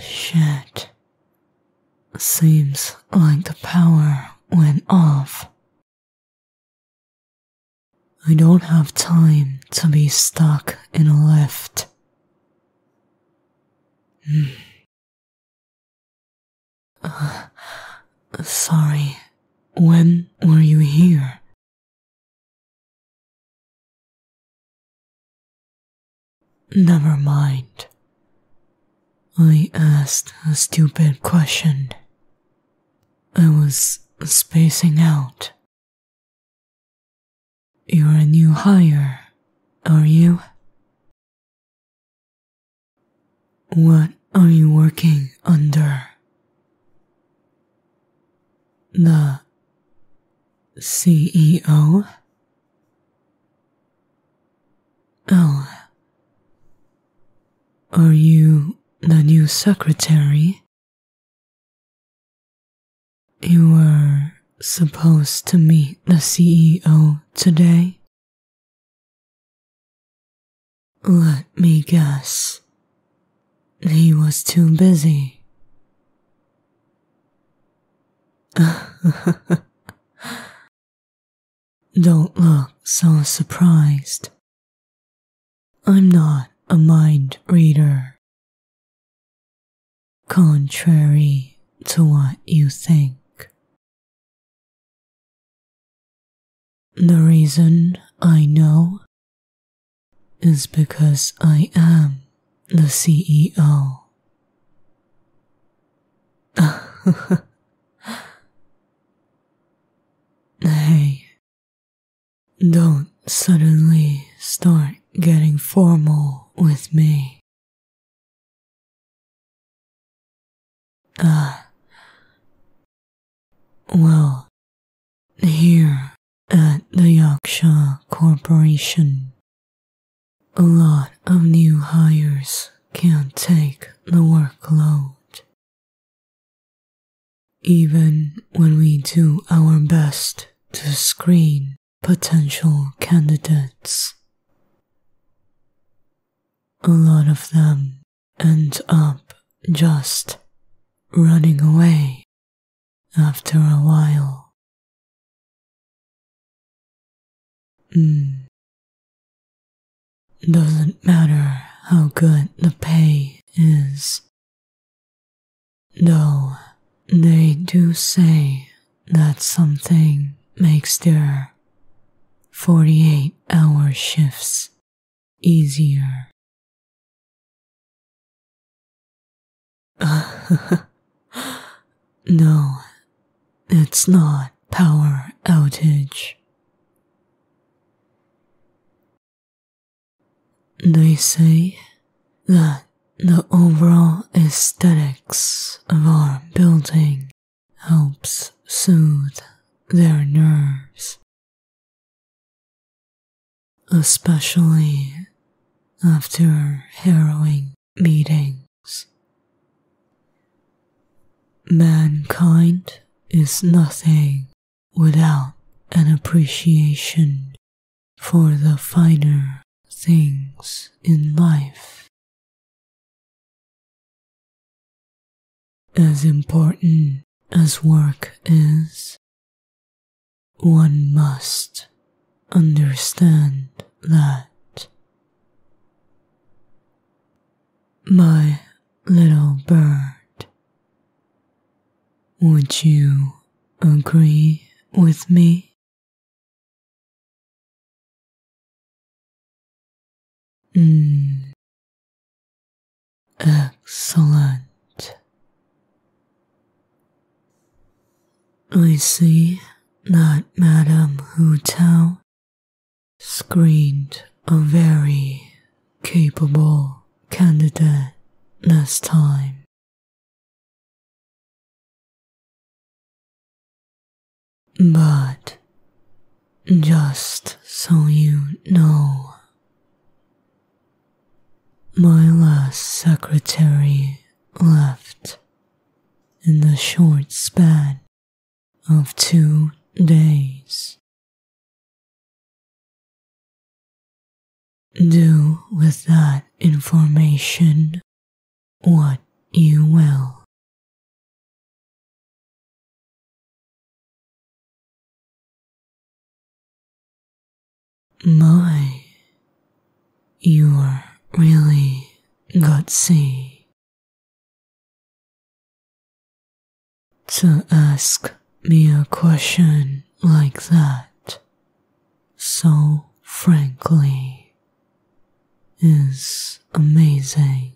shit. Seems like the power went off. I don't have time to be stuck in a lift. Hmm. sorry when were you here? Never mind. I asked a stupid question. I was spacing out. You're a new hire, are you? What are you working under? The CEO? Oh. Are you the new secretary? You were supposed to meet the CEO today? Let me guess. He was too busy. Don't look so surprised. I'm not a mind reader. Contrary to what you think, the reason I know is because I am the CEO. hey, don't suddenly start getting formal with me. Uh, well, here at the Yaksha Corporation, a lot of new hires can't take the workload. Even when we do our best to screen potential candidates, a lot of them ends up just running away after a while. Mm. Doesn't matter how good the pay is, though they do say that something makes their 48 hour shifts easier. no, it's not power outage. They say that the overall aesthetics of our building helps soothe their nerves especially after harrowing meetings. Mankind is nothing without an appreciation for the finer things in life. As important as work is, one must understand that. My little bird, would you agree with me? Excellent. I see that Madame Hu screened a very capable candidate this time. But just so you know, my last secretary left in the short span of two days. Do with that information what you will. My, you're really gutsy to ask me a question like that so frankly is amazing.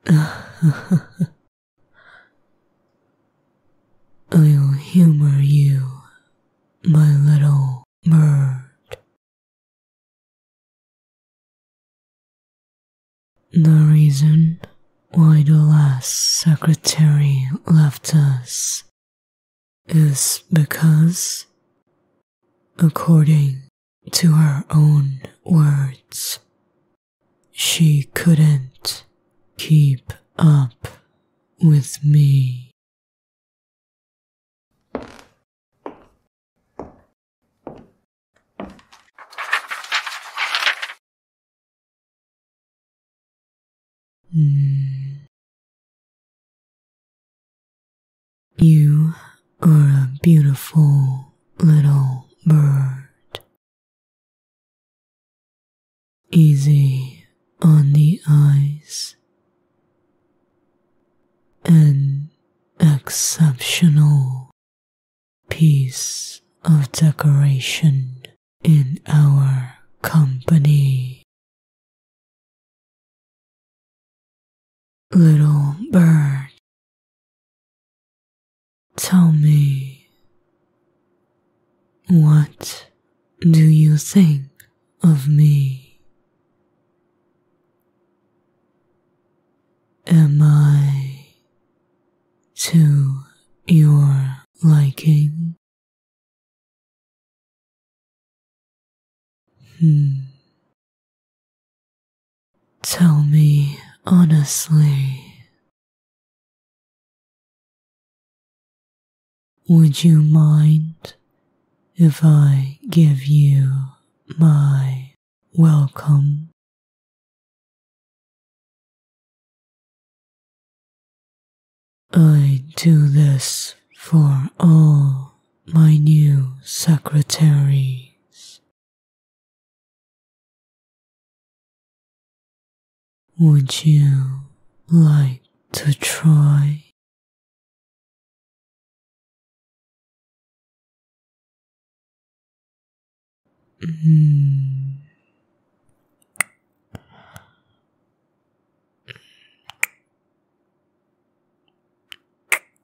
I'll humor you, my little bird. The reason why the last secretary left us is because According to her own words, she couldn't keep up with me. Hmm. You are a beautiful little bird. Easy on the eyes an exceptional piece of decoration in our company. Little bird, tell me, what do you think of me? Am I to your liking? Hmm. Tell me honestly. Would you mind if I give you my welcome? I do this for all my new secretaries. Would you like to try?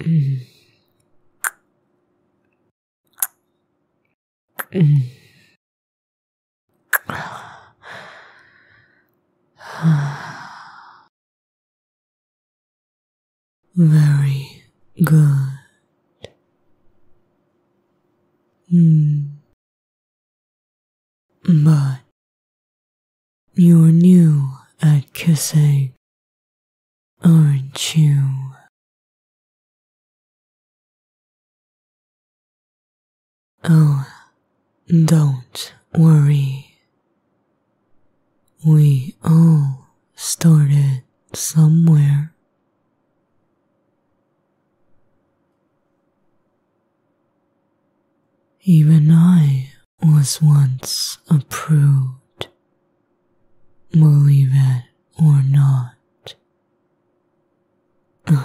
Mm. Very good. Mm. But you're new at kissing, aren't you? Oh, don't worry. We all started somewhere. Even I was once a prude, believe it or not. but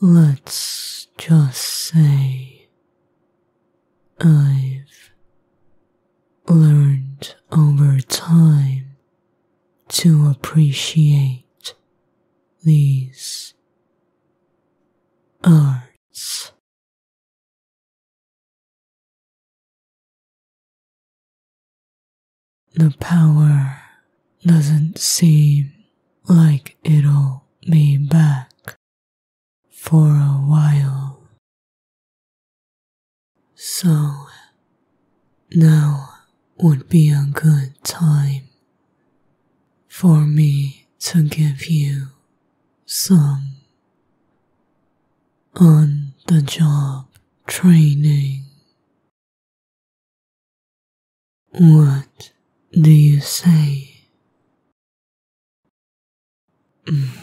let's just say I've learned over time to appreciate these arts. The power doesn't seem like it'll be back for a while, so now would be a good time for me to give you some on the job training. What do you say?